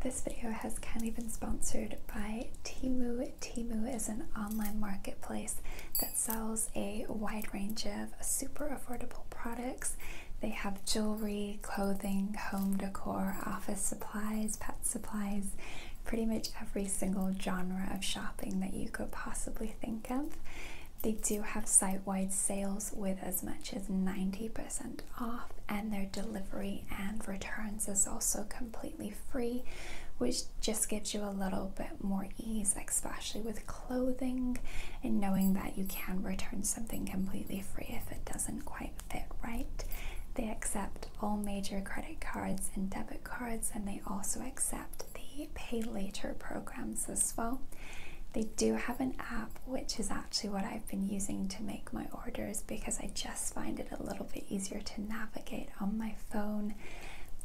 This video has kindly been sponsored by Timu. Timu is an online marketplace that sells a wide range of super affordable products. They have jewelry, clothing, home decor, office supplies, pet supplies, pretty much every single genre of shopping that you could possibly think of. They do have site wide sales with as much as 90% off, and their delivery and returns is also completely free, which just gives you a little bit more ease, especially with clothing and knowing that you can return something completely free if it doesn't quite fit right. They accept all major credit cards and debit cards, and they also accept the pay later programs as well. They do have an app which is actually what I've been using to make my orders because I just find it a little bit easier to navigate on my phone,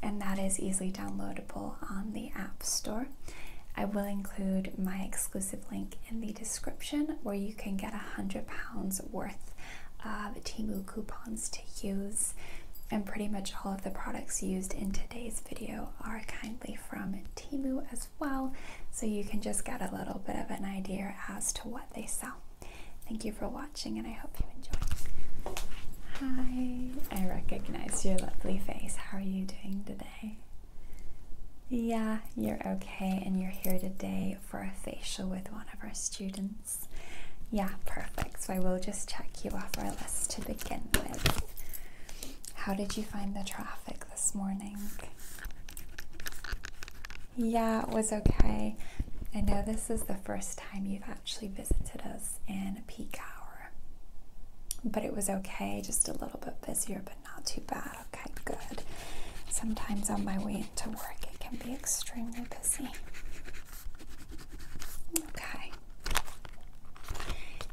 and that is easily downloadable on the App Store. I will include my exclusive link in the description where you can get a £100 worth of Timu coupons to use. And pretty much all of the products used in today's video are kindly from Timu as well well, so you can just get a little bit of an idea as to what they sell. Thank you for watching, and I hope you enjoy. Hi, I recognize your lovely face. How are you doing today? Yeah, you're okay, and you're here today for a facial with one of our students. Yeah, perfect. So I will just check you off our list to begin with. How did you find the traffic this morning? Yeah, it was okay. I know this is the first time you've actually visited us in a peak hour, but it was okay, just a little bit busier, but not too bad. Okay, good. Sometimes on my way into work, it can be extremely busy. Okay.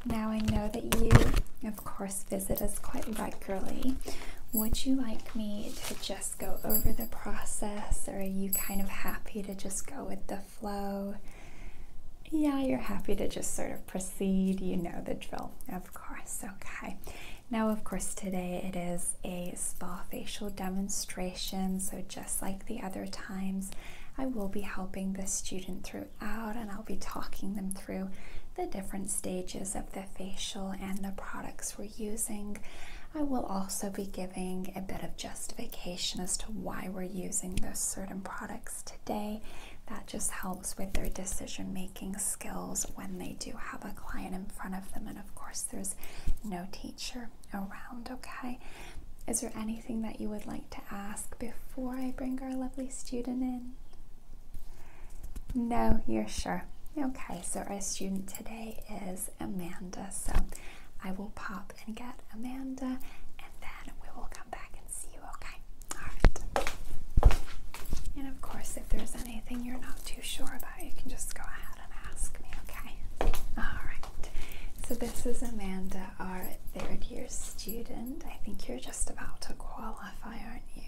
Now I know that you, of course, visit us quite regularly. Would you like me to just go over the process, or are you kind of happy to just go with the flow? Yeah, you're happy to just sort of proceed. You know the drill, of course. Okay. Now, of course, today it is a spa facial demonstration, so just like the other times, I will be helping the student throughout and I'll be talking them through the different stages of the facial and the products we're using. I will also be giving a bit of justification as to why we're using those certain products today. That just helps with their decision making skills when they do have a client in front of them, and of course, there's no teacher around. Okay, is there anything that you would like to ask before I bring our lovely student in? No, you're sure. Okay, so our student today is Amanda. So I will pop and get Amanda and then we will come back and see you, okay? All right. And of course, if there's anything you're not too sure about, you can just go ahead and ask me, okay? All right. So this is Amanda, our third year student. I think you're just about to qualify, aren't you?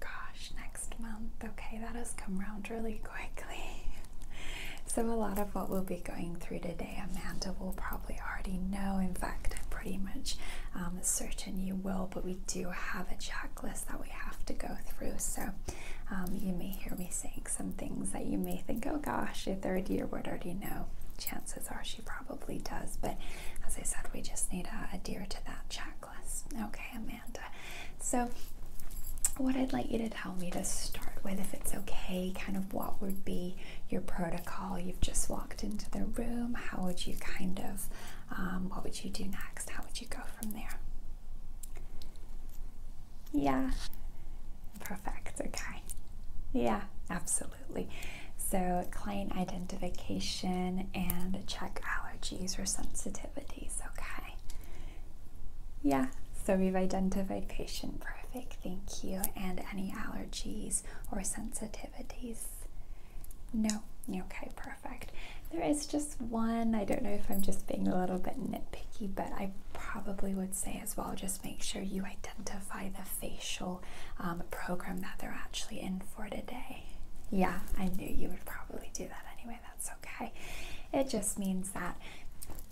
Gosh, next month. Okay, that has come round really quickly. so, a lot of what we'll be going through today, Amanda will probably already know. In fact, I'm pretty much um, certain you will, but we do have a checklist that we have to go through. So, um, you may hear me saying some things that you may think, oh gosh, a third year would already know chances are she probably does. But as I said, we just need to adhere to that checklist. Okay, Amanda. So, what I'd like you to tell me to start with, if it's okay, kind of what would be your protocol? You've just walked into the room. How would you kind of, um, what would you do next? How would you go from there? Yeah, perfect. Okay. Yeah, absolutely. So, client identification and check allergies or sensitivities sensitivities, okay? Yeah, so we've identified patient perfect, thank you. And any allergies or sensitivities? No, okay, perfect. There is just one, I don't know if I'm just being a little bit nitpicky, but I probably would say as well just make sure you identify the facial um, program that they're actually in for today. Yeah, I knew you would probably do that anyway, that's okay. It just means that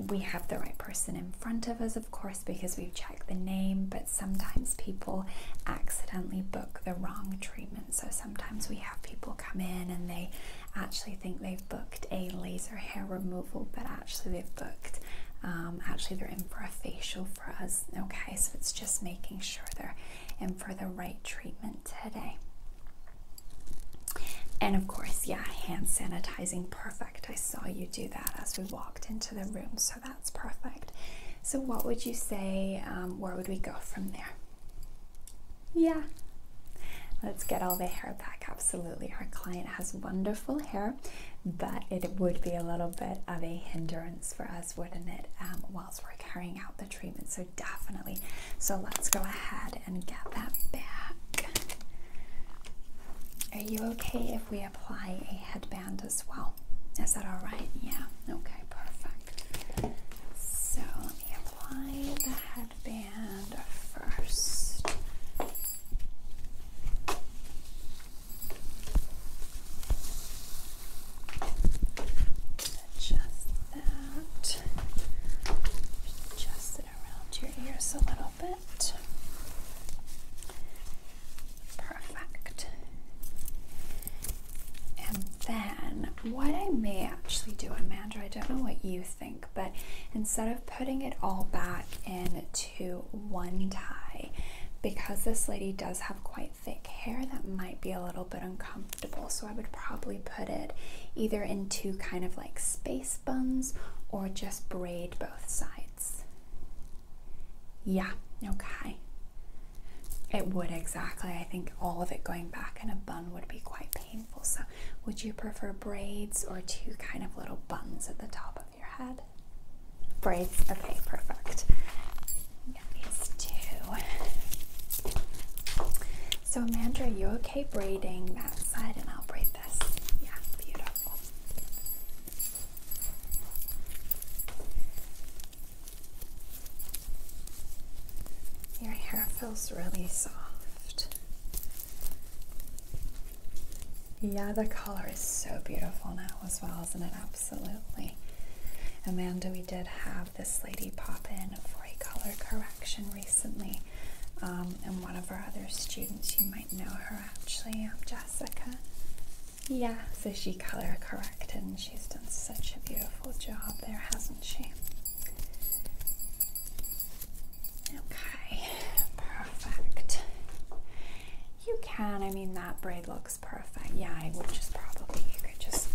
we have the right person in front of us, of course, because we've checked the name, but sometimes people accidentally book the wrong treatment. So sometimes we have people come in and they actually think they've booked a laser hair removal, but actually they've booked, um, actually, they're in for a facial for us. Okay, so it's just making sure they're and for the right treatment today. And of course, yeah, hand sanitizing, perfect. I saw you do that as we walked into the room, so that's perfect. So, what would you say? Um, where would we go from there? Yeah, let's get all the hair back. Absolutely, our client has wonderful hair, but it would be a little bit of a hindrance for us, wouldn't it? Um, we're carrying out the treatment. So definitely. So let's go ahead and get that back. Are you okay if we apply a headband as well? Is that all right? Yeah. Okay, perfect. So let me apply the headband first. Adjust that. Adjust it around your ears a little bit. Perfect. And then, what I may actually do, Amanda, I don't know what you think, but instead of putting it all back into one tie, because this lady does have quite thick hair, that might be a little bit uncomfortable. So I would probably put it either into kind of like space buns or just braid both sides. Yeah, okay. It would exactly. I think all of it going back in a bun would be quite painful. So, would you prefer braids or two kind of little buns at the top of your head? Braids, okay, perfect. So Amanda, are you okay braiding that side and I'll braid this? Yeah, beautiful. Your hair feels really soft. Yeah, the color is so beautiful now as well, isn't it? Absolutely. Amanda, we did have this lady pop in for a color correction recently, um, and one of our other students, you might know her actually, um, Jessica. Yeah, so she color corrected, and she's done such a beautiful job there, hasn't she? Okay, perfect. You can, I mean, that braid looks perfect. Yeah, I would just probably, you could just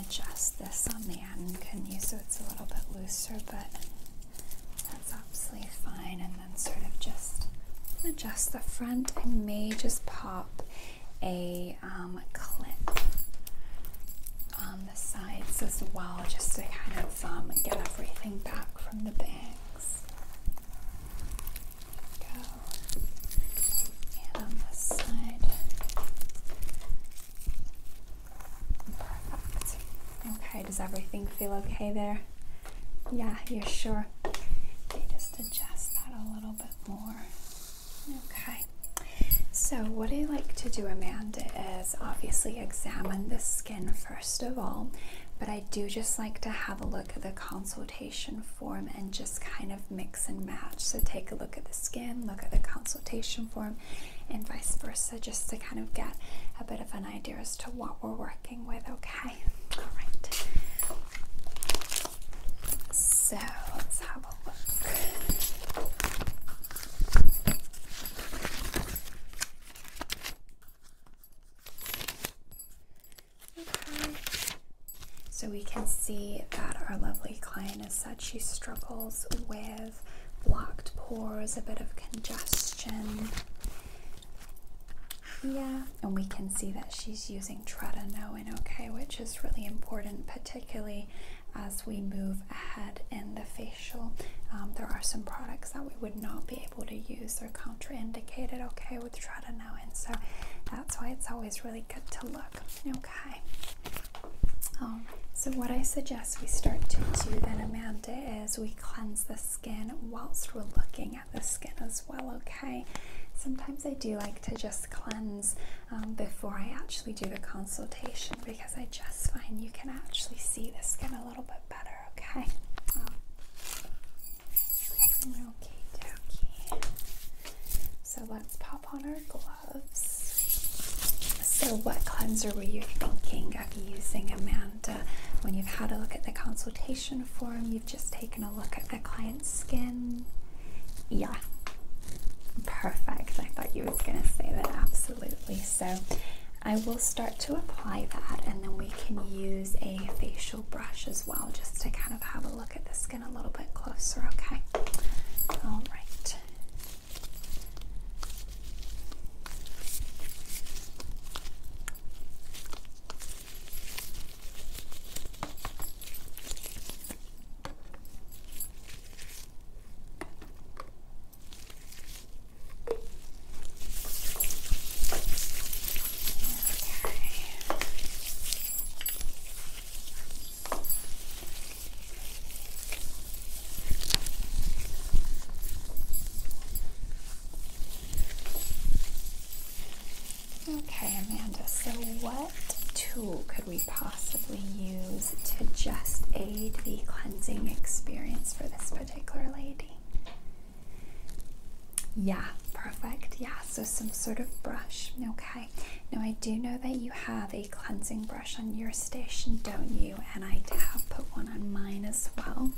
adjust this on the end, can you? So it's a little bit looser, but that's obviously fine. And then sort of just adjust the front. I may just pop um, a clip on the sides as well, just to kind of um, get everything back from the bangs. Go on this side. Okay, does everything feel okay there? Yeah, you're sure. Okay, just adjust that a little bit more. Okay. So, what I like to do, Amanda, is obviously examine the skin first of all, but I do just like to have a look at the consultation form and just kind of make and match. So take a look at the skin, look at the consultation form, and vice versa, just to kind of get a bit of an idea as to what we're working with, okay? All right. So let's have a look. So we can see that our lovely client has said she struggles with blocked pores, a bit of congestion. Yeah, and we can see that she's using tretinoin, okay, which is really important, particularly as we move ahead in the facial. Um, there are some products that we would not be able to use, they're contraindicated, okay, with tretinoin. So that's why it's always really good to look, okay. Um, so what I suggest we start to do then, Amanda, is we cleanse the skin whilst we're looking at the skin as well. Okay. Sometimes I do like to just cleanse um, before I actually do the consultation because I just find you can actually see the skin a little bit better. Okay. Um, so let's pop on our gloves. So, what cleanser were you thinking of using, Amanda? When you've had a look at the consultation form, you've just taken a look at the client's skin. Yeah, perfect. I thought you was going to say that. Absolutely. So, I will start to apply that, and then we can use a facial brush as well, just to kind of have a look at the a little bit closer, okay? All right. Okay. Okay, Amanda, so what tool could we possibly use to just aid the cleansing experience for this particular lady? Yeah, perfect. Yeah, so some sort of brush, okay? Now, I do know that you have a cleansing brush on your station, don't you? And I have put one on mine as well.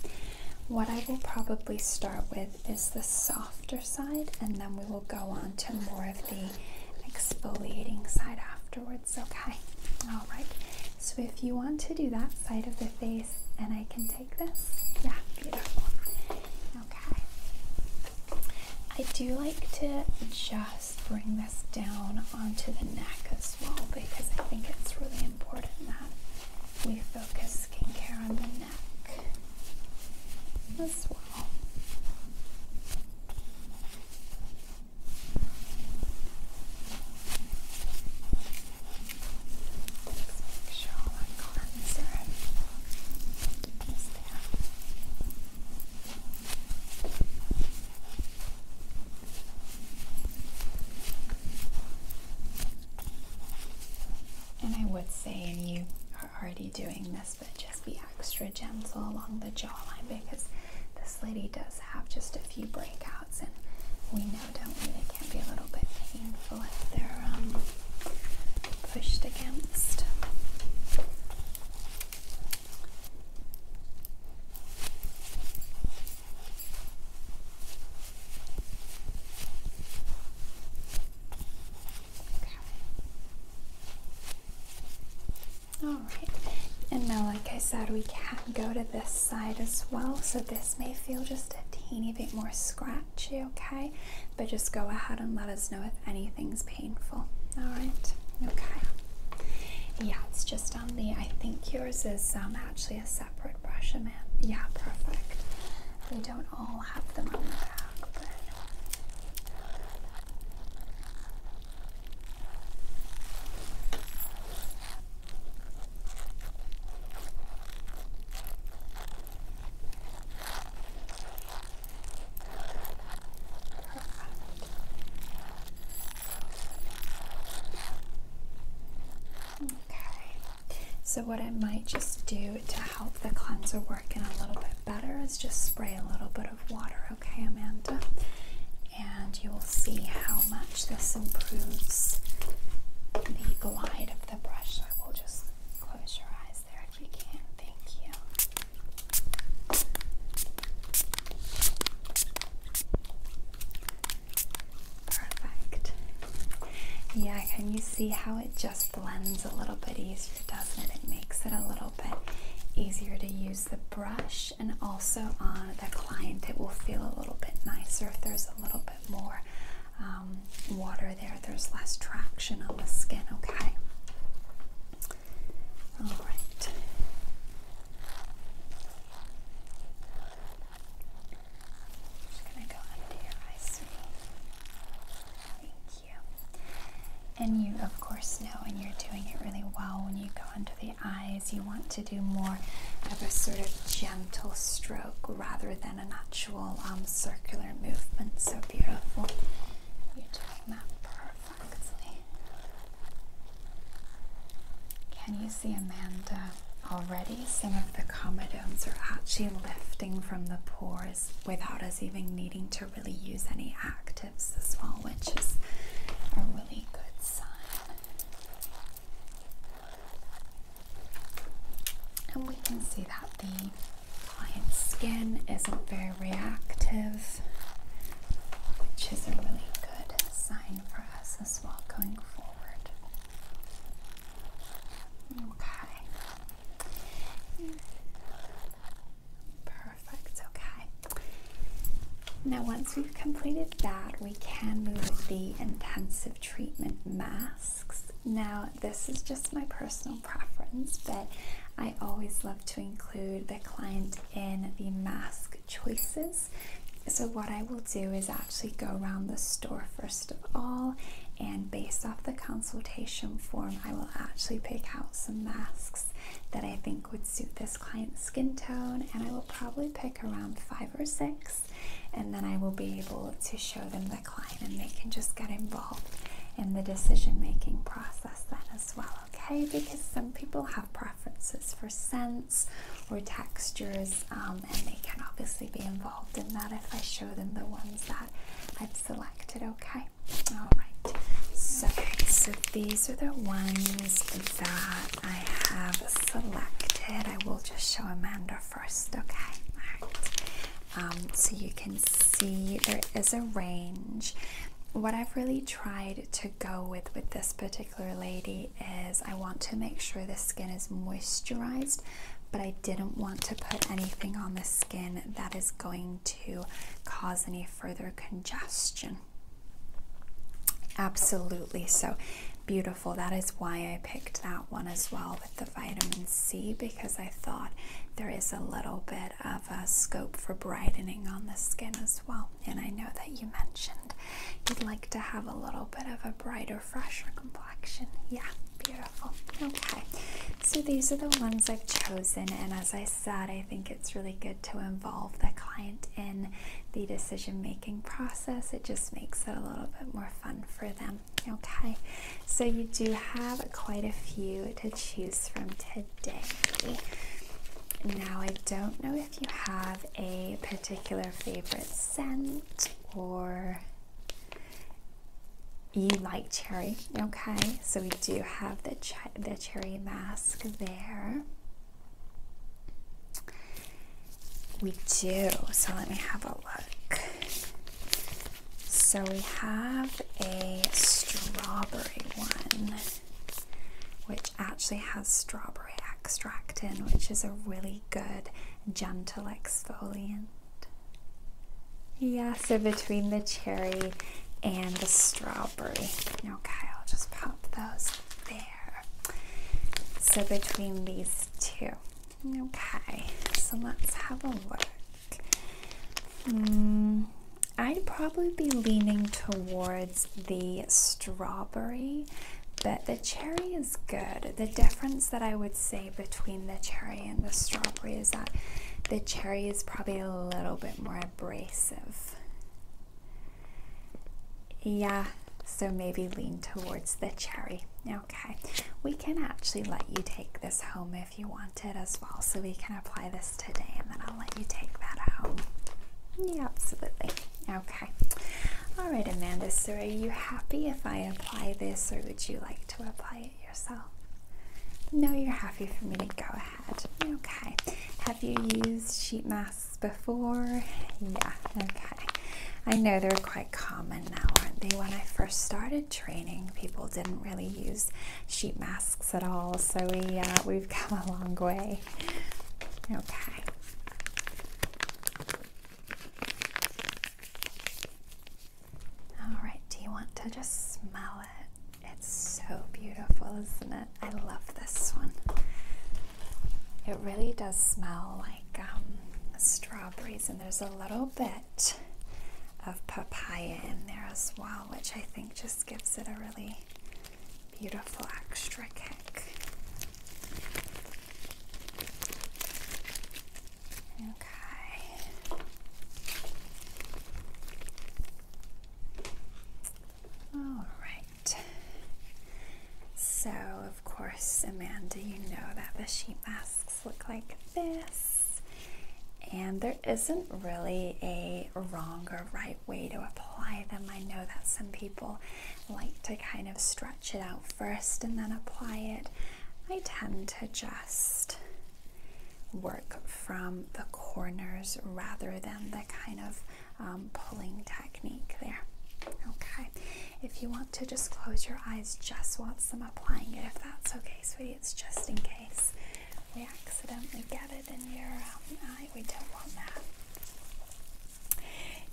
What I will probably start with is the softer side, and then we will go on to more of the exfoliating side afterwards, okay? All right. So, if you want to do that side of the face, and I can take this, yeah, beautiful. Okay. I do like to just just bring this down onto the neck as well because I think it's really important that we focus skincare on the neck as well. And I would say, and you are already doing this, but just be extra gentle along the jawline because this lady does have just a few breakouts, and we know, don't we, they can be a little bit painful if they're um, pushed against. All right, and now, like I said, we can go to this side as well, so this may feel just a teeny bit more scratchy, okay? But just go ahead and let us know if anything's painful. All right. Okay. Yeah, it's just on the. I think yours is um, actually a separate brush, Amanda. Yeah, perfect. We don't all have them on the back, but. Okay, so what I might just do to help the cleanser work in a little bit better is just spray a little bit of water, okay, Amanda? And you will see how much this improves the glide of the brush. I will just close your eyes Perfect. Yeah, can you see how it just blends a little bit easier, doesn't it? It makes it a little bit easier to use the brush and also on the client it will feel a little bit nicer if there's a little bit more um, water there. There's less traction on the skin, okay? All just going to go under your eyes. Thank you. And you, of course, know and you're doing it really well when you go under the eyes, you want to do more of a sort of gentle stroke rather than an actual um, circular movement. So beautiful. You're doing that perfect. Can you see Amanda already? Some of the comedones are actually lifting from the pores without us even needing to really use any actives as well, which is a really good sign. And we can see that the client's skin isn't very reactive, which is a really good sign for us as well going forward. Okay. Perfect, okay. Now, once we've completed that, we can move the intensive treatment masks. Now, this is just my personal preference, but I always love to include the client in the mask choices. So, what I will do is actually go around the store first of all, and based off the consultation form, I will actually pick out some masks that I think would suit this client's skin tone, and I will probably pick around five or six, and then I will be able to show them the client, and they can just get involved in the decision making process then as well okay? Because some people have preferences for scents or textures, um, and they can obviously be involved in that if I show them the ones that I've selected, okay? All right, so, so these are the ones that I have selected. I will just show Amanda first, okay? All right. Um, so you can see there is a range what I've really tried to go with with this particular lady is I want to make sure the skin is moisturized, but I didn't want to put anything on the skin that is going to cause any further congestion. Absolutely, so beautiful. That is why I picked that one as well with the vitamin C because I thought there is a little bit of a scope for brightening on the skin as well. And I know that you mentioned you'd like to have a little bit of a brighter, fresher complexion. Yeah, beautiful. Okay, so these are the ones I've chosen. And as I said, I think it's really good to involve the client in the decision making process. It just makes it a little bit more fun for them. Okay, so you do have quite a few to choose from today. Now, I don't know if you have a particular favorite scent or you like cherry, okay? So we do have the, the cherry mask there. We do. So let me have a look. So we have a strawberry one, which actually has strawberry extract in, which is a really good, gentle exfoliant. Yeah, so between the cherry and the strawberry. Okay, I'll just pop those there. So between these two. Okay, so let's have a look. Hmm, I'd probably be leaning towards the strawberry, but the cherry is good. The difference that I would say between the cherry and the strawberry is that the cherry is probably a little bit more abrasive. Yeah, so maybe lean towards the cherry. Okay, we can actually let you take this home if if you want it as well. So we can apply this today and then I'll let you take that out. Yeah, absolutely. Okay. All right, Amanda. So are you happy if I apply this or would you like to apply it yourself? No, you're happy for me to go ahead. Okay. Have you used sheet masks before? Yeah, okay. I know they're quite common now, aren't they? When I first started training, people didn't really use sheet masks at all. So we, uh, we've come a long way. Okay. All right, do you want to just smell it? It's so beautiful, isn't it? I love this one. It really does smell like um, strawberries, and there's a little bit of papaya in there as well, which I think just gives it a really beautiful extra kick. Okay. All right. So, of course, Amanda, you know that the sheet masks look like this. And there isn't really a wrong or right way to apply them. I know that some people like to kind of stretch it out first and then apply it. I tend to just work from the corners rather than the kind of um, pulling technique there. Okay, if you want to just close your eyes just watch them applying it, if that's okay, sweetie, it's just in case we accidentally get it in your um, eye. We don't want that.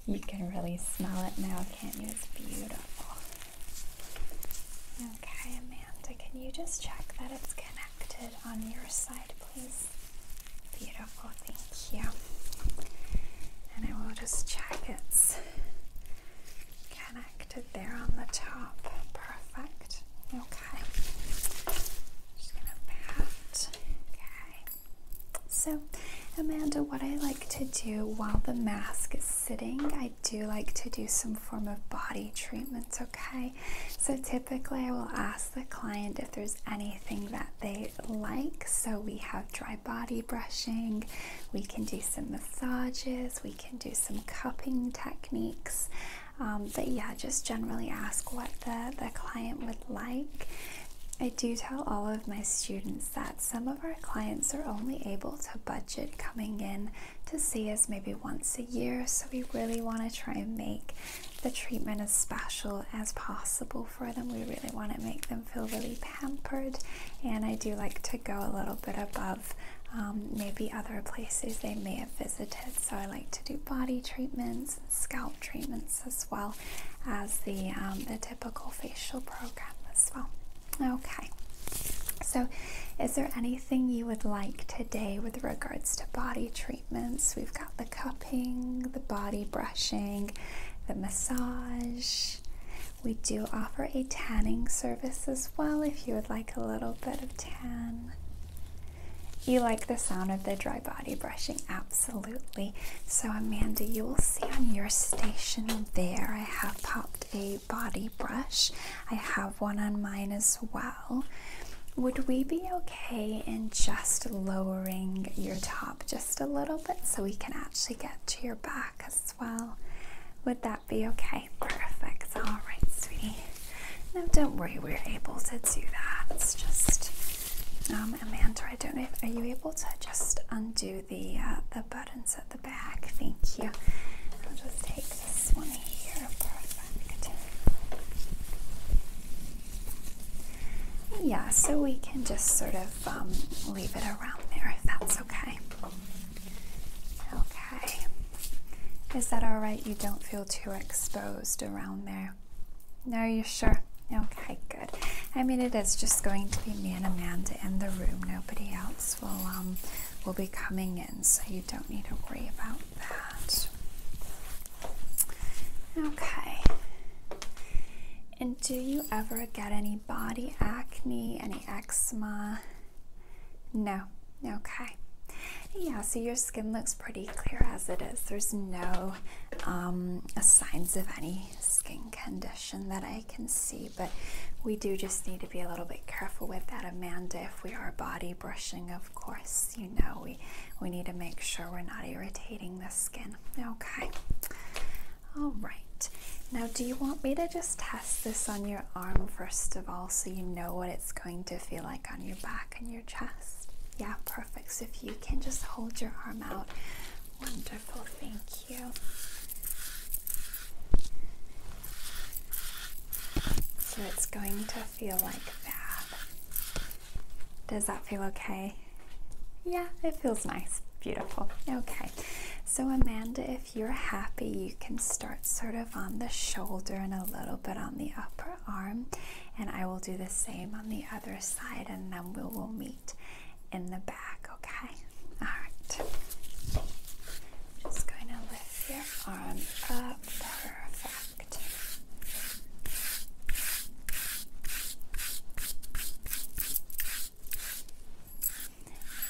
You can really smell it now, can't you? It's beautiful. Okay, Amanda, can you just check that it's connected on your side, please? Beautiful, thank you. And I will just check it's connected there on the top. Perfect. Okay. Okay. Just gonna pat. Okay. So, Amanda, what I like to do while the mask is sitting, I do like to do some form of body treatments, okay? So, typically, I will ask the client if there's anything that they like. So, we have dry body brushing, we can do some massages, we can do some cupping techniques, um, but yeah, just generally ask what the, the client would like. I do tell all of my students that some of our clients are only able to budget coming in to see us maybe once a year, so we really want to try and make the treatment as special as possible for them. We really want to make them feel really pampered, and I do like to go a little bit above um, maybe other places they may have visited. So I like to do body treatments and scalp treatments as well as the, um, the typical facial program as well. Okay. So, is there anything you would like today with regards to body treatments? We've got the cupping, the body brushing, the massage. We do offer a tanning service as well if you would like a little bit of tan. You like the sound of the dry body brushing? Absolutely. So, Amanda, you will see on your station there, I have popped a body brush. I have one on mine as well. Would we be okay in just lowering your top just a little bit so we can actually get to your back as well? Would that be okay? Perfect. All right, sweetie. No, don't worry, we're able to do that. It's just, um, Amanda, I don't know are you able to just undo the, uh, the buttons at the back? Thank you. I'll just take this one here, Yeah, so we can just sort of um, leave it around there if that's okay. Okay, is that all right? You don't feel too exposed around there? No, you're sure? Okay, good. I mean, it is just going to be me and Amanda in the room. Nobody else will, um, will be coming in, so you don't need to worry about that. Okay. And do you ever get any body acne, any eczema? No, Okay. Yeah, so your skin looks pretty clear as it is. There's no um, signs of any skin condition that I can see, but we do just need to be a little bit careful with that, Amanda. If we are body brushing, of course, you know, we, we need to make sure we're not irritating the skin. Okay. All right. Now, do you want me to just test this on your arm first of all so you know what it's going to feel like on your back? back your chest. Yeah, perfect. So if you can just hold your arm out. Wonderful, thank you. So it's going to feel like that. Does that feel okay? Yeah, it feels nice. Beautiful. Okay. So, Amanda, if you're happy, you can start sort of on the shoulder and a little bit on the upper arm and I will do the same on the other side and then we will meet in the back, okay? All right. Just going to lift your arm up. Perfect.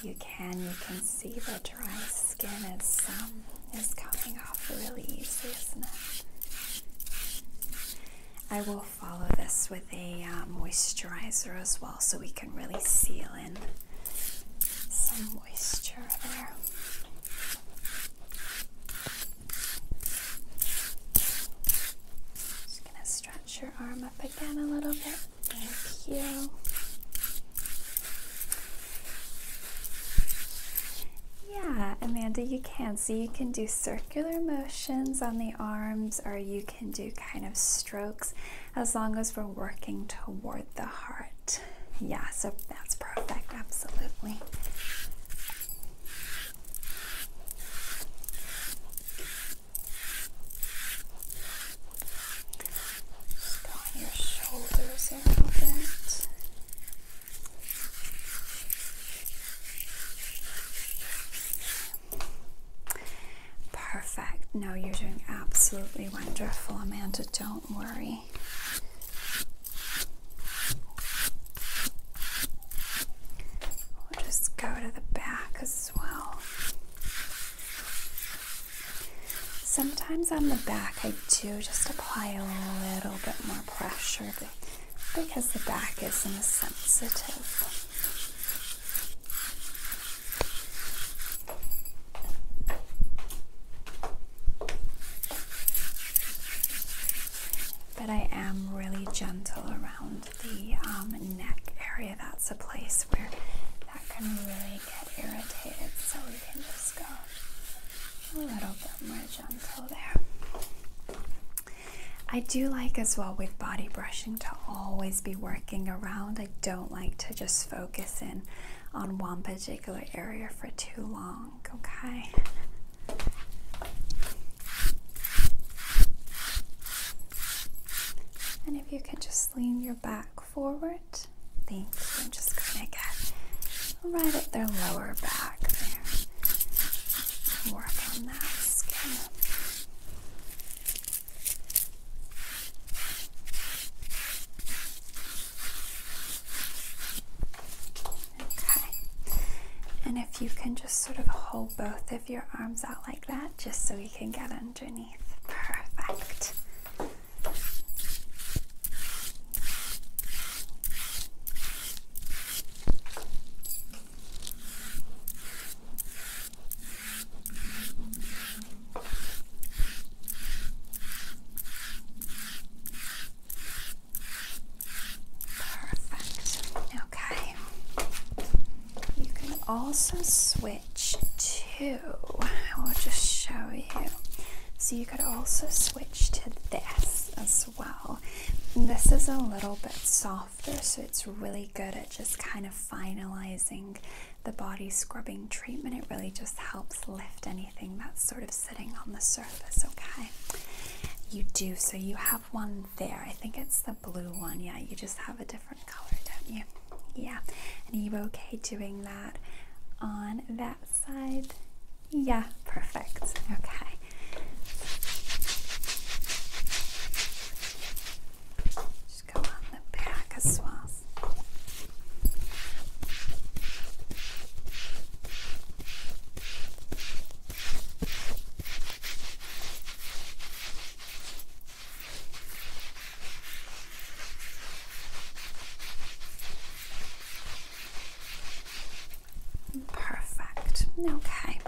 You can, you can see the dry skin is um, is coming off really easily, isn't it? I will follow this with a uh, moisturizer as well, so we can really seal in some moisture there. Just gonna stretch your arm up again a little bit. Thank you. Yeah, Amanda, you can. So you can do circular motions on the arms, or you can do kind of strokes as long as we're working toward the heart. Yeah, so that's perfect, absolutely. Just your shoulders a little bit. Perfect. No, you're doing absolutely wonderful, Amanda. Don't worry. We'll just go to the back as well. Sometimes on the back, I do just apply a little bit more pressure because the back isn't sensitive. But I am really gentle around the um, neck area. That's a place where that can really get irritated. So we can just go a little bit more gentle there. I do like as well with body brushing to always be working around. I don't like to just focus in on one particular area for too long, okay? And if you could just lean your back forward different things. I'm just gonna get right at their lower back there. Work on that skin. Okay. And if you can just sort of hold both of your arms out like that, just so you can get underneath. Perfect. Perfect. Okay. You can also switch to, I will just show you. So you could also switch to this as well. This is a little bit softer, so it's really good at just kind of finalizing the body scrubbing treatment. It really just helps lift anything that's sort of sitting on the surface, okay? You do, so you have one there. I think it's the blue one. Yeah, you just have a different color, don't you? Yeah. And are you okay doing that on that side? Yeah, perfect. Okay. Just go on the back as well. Perfect. Okay,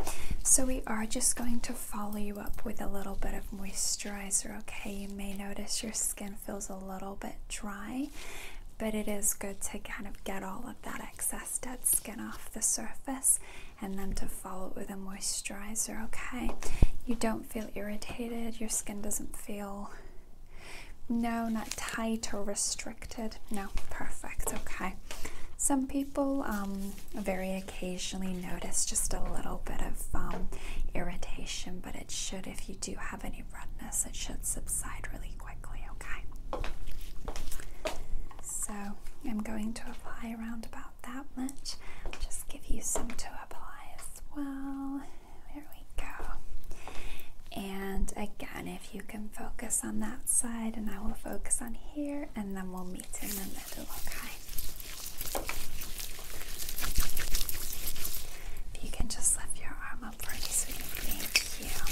so we are just going to follow you up with a little bit of moisturizer. Okay, you may notice your skin feels a little bit dry, but it is good to kind of get all of that excess dead skin off the surface and then to follow it with a moisturizer. Okay, you don't feel irritated, your skin doesn't feel no, not tight or restricted. No, perfect. Okay. Some people um, very occasionally notice just a little bit of um, irritation, but it should, if you do have any redness, it should subside really quickly. Okay. So I'm going to apply around about that much. just give you some to apply as well. There we go. And again, if you can focus on that side, and I will focus on here, and then we'll meet in the middle, okay? If you can just lift your arm up pretty sweet, thank you.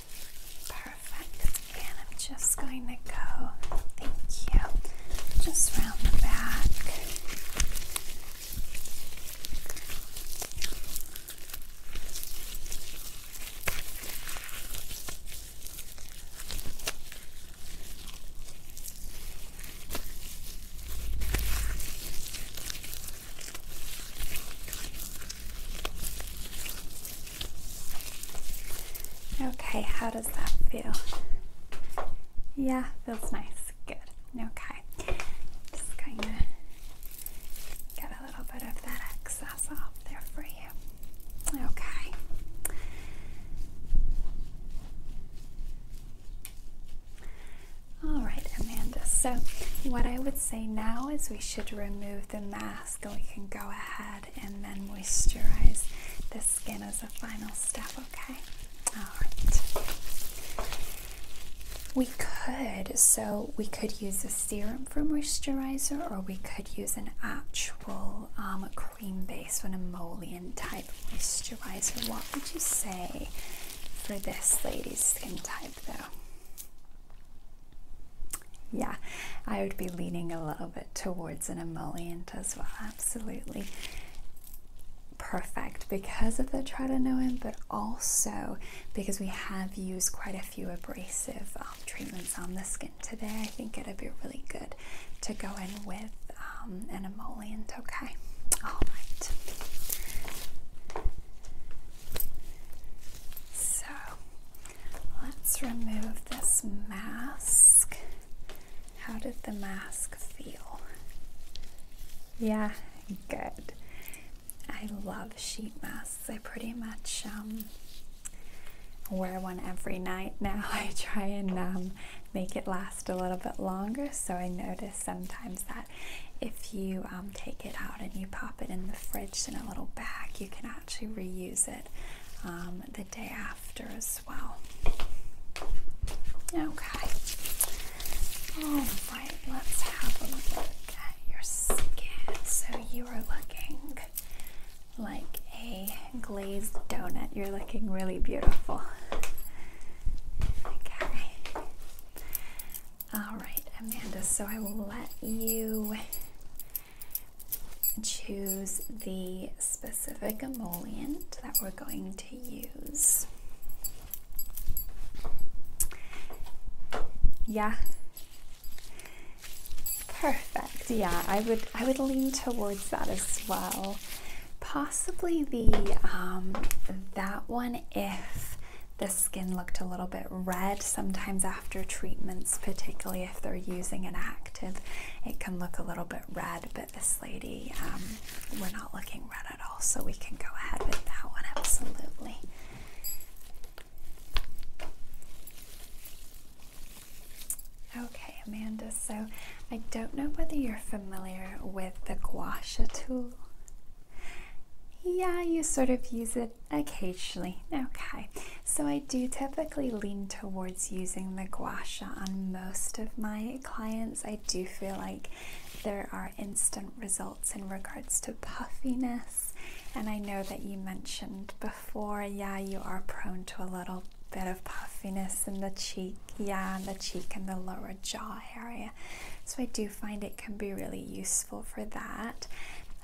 Perfect. And I'm just going to go, thank you, just round the back. Okay, how does that feel? Yeah, feels nice. Good. Okay. Just going to get a little bit of that excess off there for you. Okay. All right, Amanda. So, what I would say now is we should remove the mask and we can go ahead and then moisturize the skin as a final step, okay? Alright. We could, so we could use a serum for moisturizer or we could use an actual um, cream base or an emollient type moisturizer. What would you say for this lady's skin type though? Yeah, I would be leaning a little bit towards an emollient as well. Absolutely perfect because of the tretinoin, but also because we have used quite a few abrasive um, treatments on the skin today. I think it'd be really good to go in with um, an emollient. Okay, all right. So Let's remove this mask. How did the mask feel? Yeah, good. I love sheet masks. I pretty much um, wear one every night now. I try and um, make it last a little bit longer. So I notice sometimes that if you um, take it out and you pop it in the fridge in a little bag, you can actually reuse it um, the day after as well. Okay. All right, let's have a look at your skin. So you are looking like a glazed donut. You're looking really beautiful. Okay. All right, Amanda. So I will let you choose the specific emollient that we're going to use. Yeah. Perfect. Yeah, I would I would lean towards that as well. Possibly the um, that one if the skin looked a little bit red sometimes after treatments, particularly if they're using an active, it can look a little bit red, but this lady, um, we're not looking red at all, so we can go ahead with that one, absolutely. Okay, Amanda, so I don't know whether you're familiar with the gouache tool. Yeah, you sort of use it occasionally. Okay, so I do typically lean towards using the guasha on most of my clients. I do feel like there are instant results in regards to puffiness, and I know that you mentioned before, yeah, you are prone to a little bit of puffiness in the cheek, yeah, and the cheek and the lower jaw area. So I do find it can be really useful for that.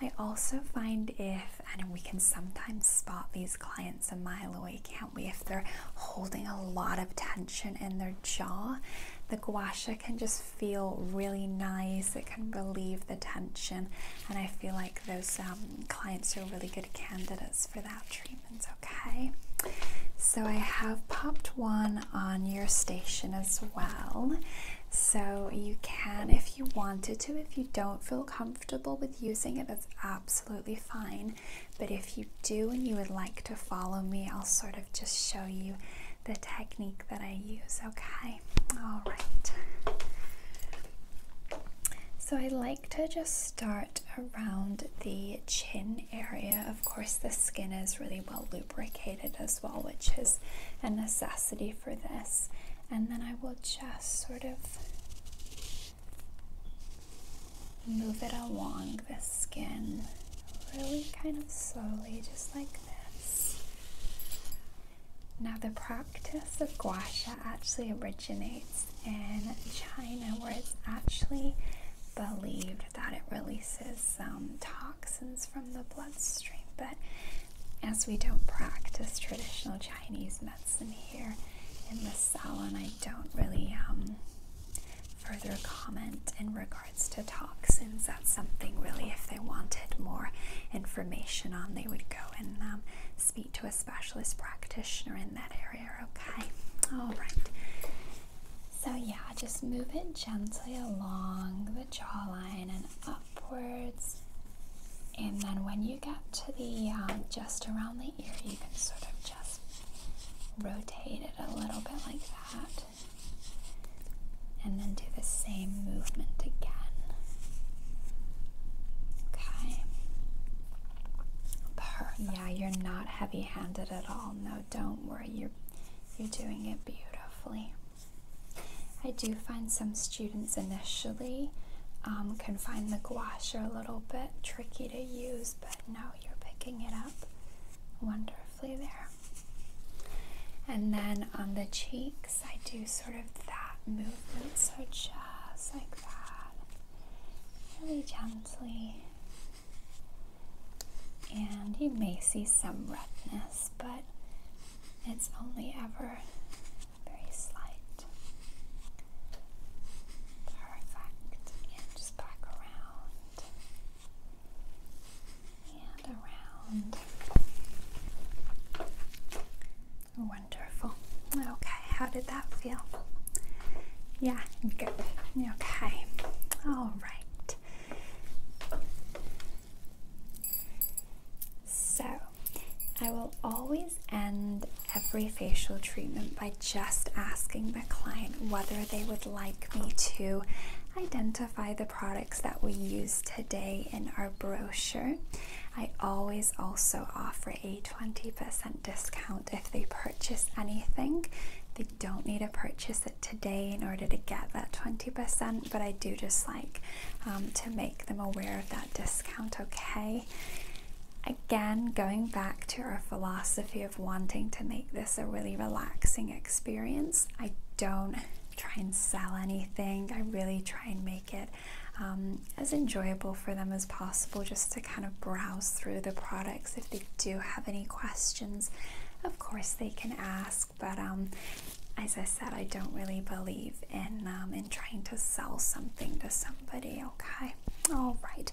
I also find if and we can sometimes spot these clients a mile away, can't we? If they're holding a lot of tension in their jaw, the guasha can just feel really nice, it can relieve the tension, and I feel like those um, clients are really good candidates for that treatment, okay? So I have popped one on your station as well. So you can, if you wanted to, if you don't feel comfortable with using it, that's absolutely fine. But if you do and you would like to follow me, I'll sort of just show you the technique that I use, okay? All right. So I like to just start around the chin area. Of course, the skin is really well lubricated as well, which is a necessity for this, and then I will just sort of move it along the skin really kind of slowly, just like this. Now, the practice of gua sha actually originates in China, where it's actually believed that it releases some toxins from the bloodstream, but as we don't practice traditional Chinese medicine here in the salon, I don't really um, further comment in regards to toxins. That's something really, if they wanted more information on, they would go and um, speak to a specialist practitioner in that area. Okay, all right. So yeah, just move it gently along the jawline and upwards. And then when you get to the um, just around the ear, you can sort of just rotate it a little bit like that. And then do the same movement again. Okay. Perfect. Yeah, you're not heavy handed at all. No, don't worry. You're, you're doing it beautifully. I do find some students initially um, can find the gouache a little bit tricky to use, but now you're picking it up wonderfully there. And then on the cheeks, I do sort of that movement, so just like that, really gently. And you may see some redness, but it's only ever very slight. Perfect. And just back around and around. Wonderful. Okay, how did that feel? Yeah, good. Okay. All right. So, I will always end every facial treatment by just asking the client whether they would like me to identify the products that we use today in our brochure. I always also offer a 20% discount if they purchase anything. They don't need to purchase it today in order to get that 20%, but I do just like um, to make them aware of that discount, okay? Again, going back to our philosophy of wanting to make this a really relaxing experience, I don't try and sell anything. I really try and make it um, as enjoyable for them as possible just to kind of browse through the products. If they do have any questions, of course they can ask, but um, as I said, I don't really believe in um, in trying to sell something to somebody. Okay, all right.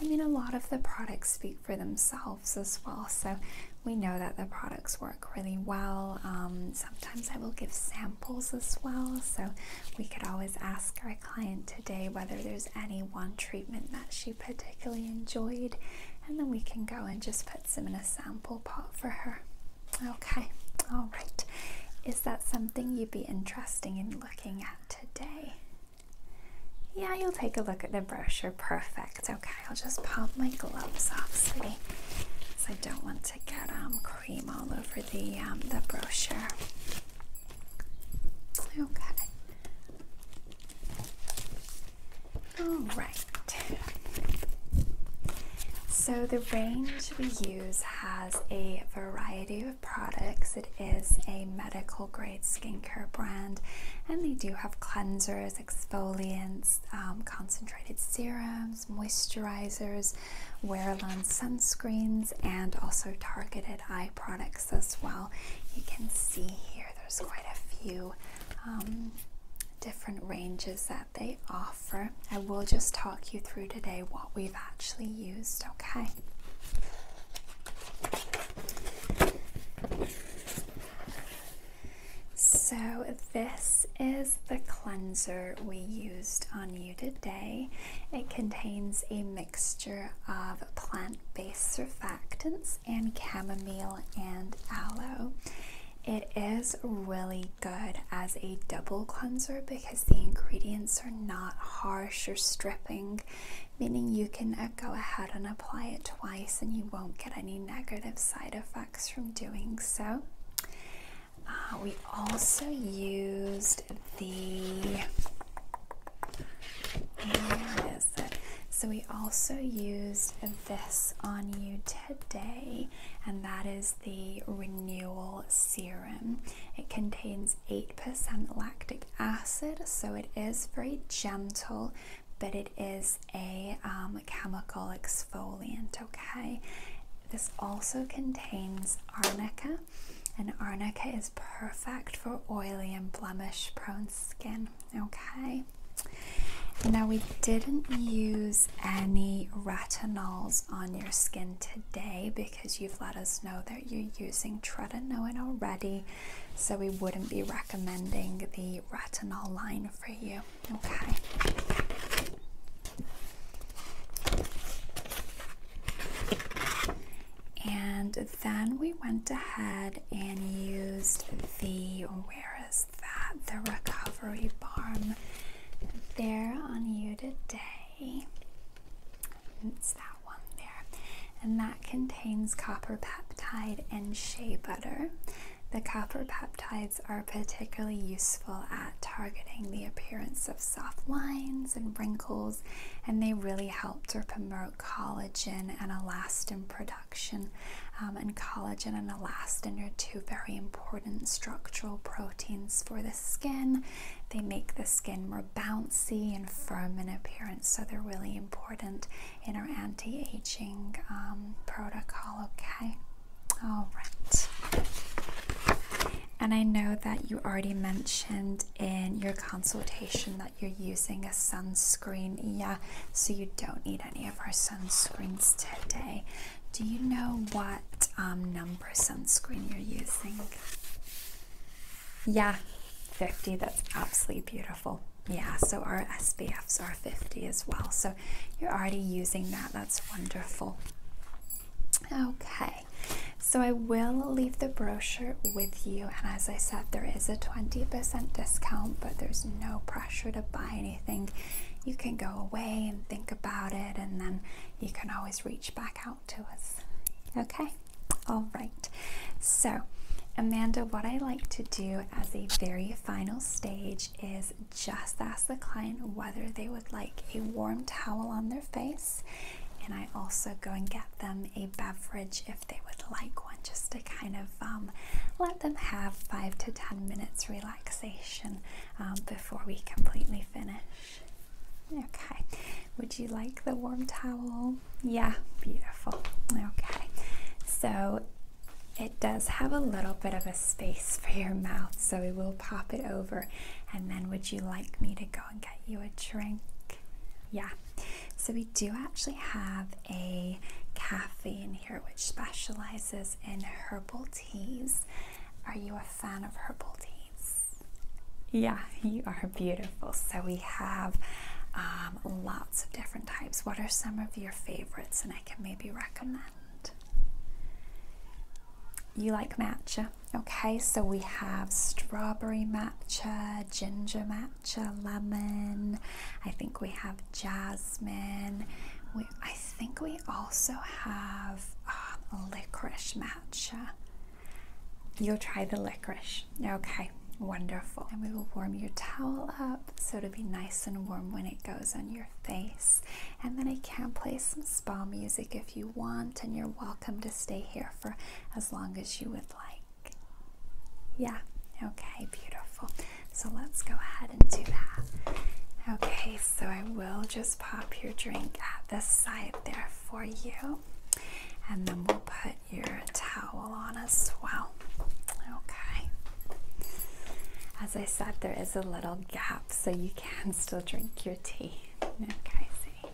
I mean, a lot of the products speak for themselves as well, so we know that the products work really well. Um, sometimes I will give samples as well, so we could always ask our client today whether there's any one treatment that she particularly enjoyed, and then we can go and just put some in a sample pot for her. Okay, all right. Is that something you'd be interested in looking at today? Yeah, you'll take a look at the brochure. Perfect. Okay, I'll just pop my gloves off, sweetie. So I don't want to get um, cream all over the, um, the brochure. Okay. All right. So the range we use has a variety of products. It is a medical grade skincare brand, and they do have cleansers, exfoliants, um, concentrated serums, moisturizers, wear-alone sunscreens, and also targeted eye products as well. You can see here there's quite a few um, different ranges that they offer. I will just talk you through today what we've actually used, okay? So, this is the cleanser we used on you today. It contains a mixture of plant based surfactants and chamomile and aloe. It is really good as a double cleanser because the ingredients are not harsh or stripping, meaning you can uh, go ahead and apply it twice and you won't get any negative side effects from doing so. Uh, we also used the So we also used this on you today, and that is the Renewal Serum. It contains 8% lactic acid, so it is very gentle, but it is a um, chemical exfoliant, okay? This also contains arnica, and arnica is perfect for oily and blemish prone skin, okay? Now, we didn't use any retinols on your skin today because you've let us know that you're using tretinoin already. So we wouldn't be recommending the retinol line for you. Okay. And then we went ahead and used the where is that? The recovery balm there on you today. It's that one there. And that contains copper peptide and shea butter. The copper peptides are particularly useful at targeting the appearance of soft lines and wrinkles, and they really help to promote collagen and elastin production. Um, and collagen and elastin are two very important structural proteins for the skin. They make the skin more bouncy and firm in appearance, so they're really important in our anti-aging um, protocol, okay? All right. And I know that you already mentioned in your consultation that you're using a sunscreen. Yeah, so you don't need any of our sunscreens today. Do you know what um, number sunscreen you're using? Yeah, 50. That's absolutely beautiful. Yeah, so our SBFs are 50 as well. So you're already using that. That's wonderful. Okay, so I will leave the brochure with you. And as I said, there is a 20% discount, but there's no pressure to buy anything. You can go away and think about it and then you can always reach back out to us. Okay, all right. So, Amanda, what I like to do as a very final stage is just ask the client whether they would like a warm towel on their face. And I also go and get them a beverage if they would like one, just to kind of um, let them have five to ten minutes relaxation um, before we completely finish. Okay. Would you like the warm towel? Yeah, beautiful. Okay. So it does have a little bit of a space for your mouth, so we will pop it over. And then would you like me to go and get you a drink? Yeah. So we do actually have a cafe in here which specializes in herbal teas. Are you a fan of herbal teas. Yeah, you are beautiful. So we have um, lots of different types. What are some of your favorites, and I can maybe recommend? You like matcha, okay? So we have strawberry matcha, ginger matcha, lemon. I think we have jasmine. I think we also have uh, a licorice matcha. You'll try the licorice. Okay, wonderful. And we will warm your towel up so it'll be nice and warm when it goes on your face. And then I can play some spa music if you want, and you're welcome to stay here for as long as you would like. Yeah, okay, beautiful. So let's go ahead and do that. Okay, so I will just pop your drink at the side there for you. And then we'll put your towel on as well. Okay. As I said, there is a little gap, so you can still drink your tea. Okay, see.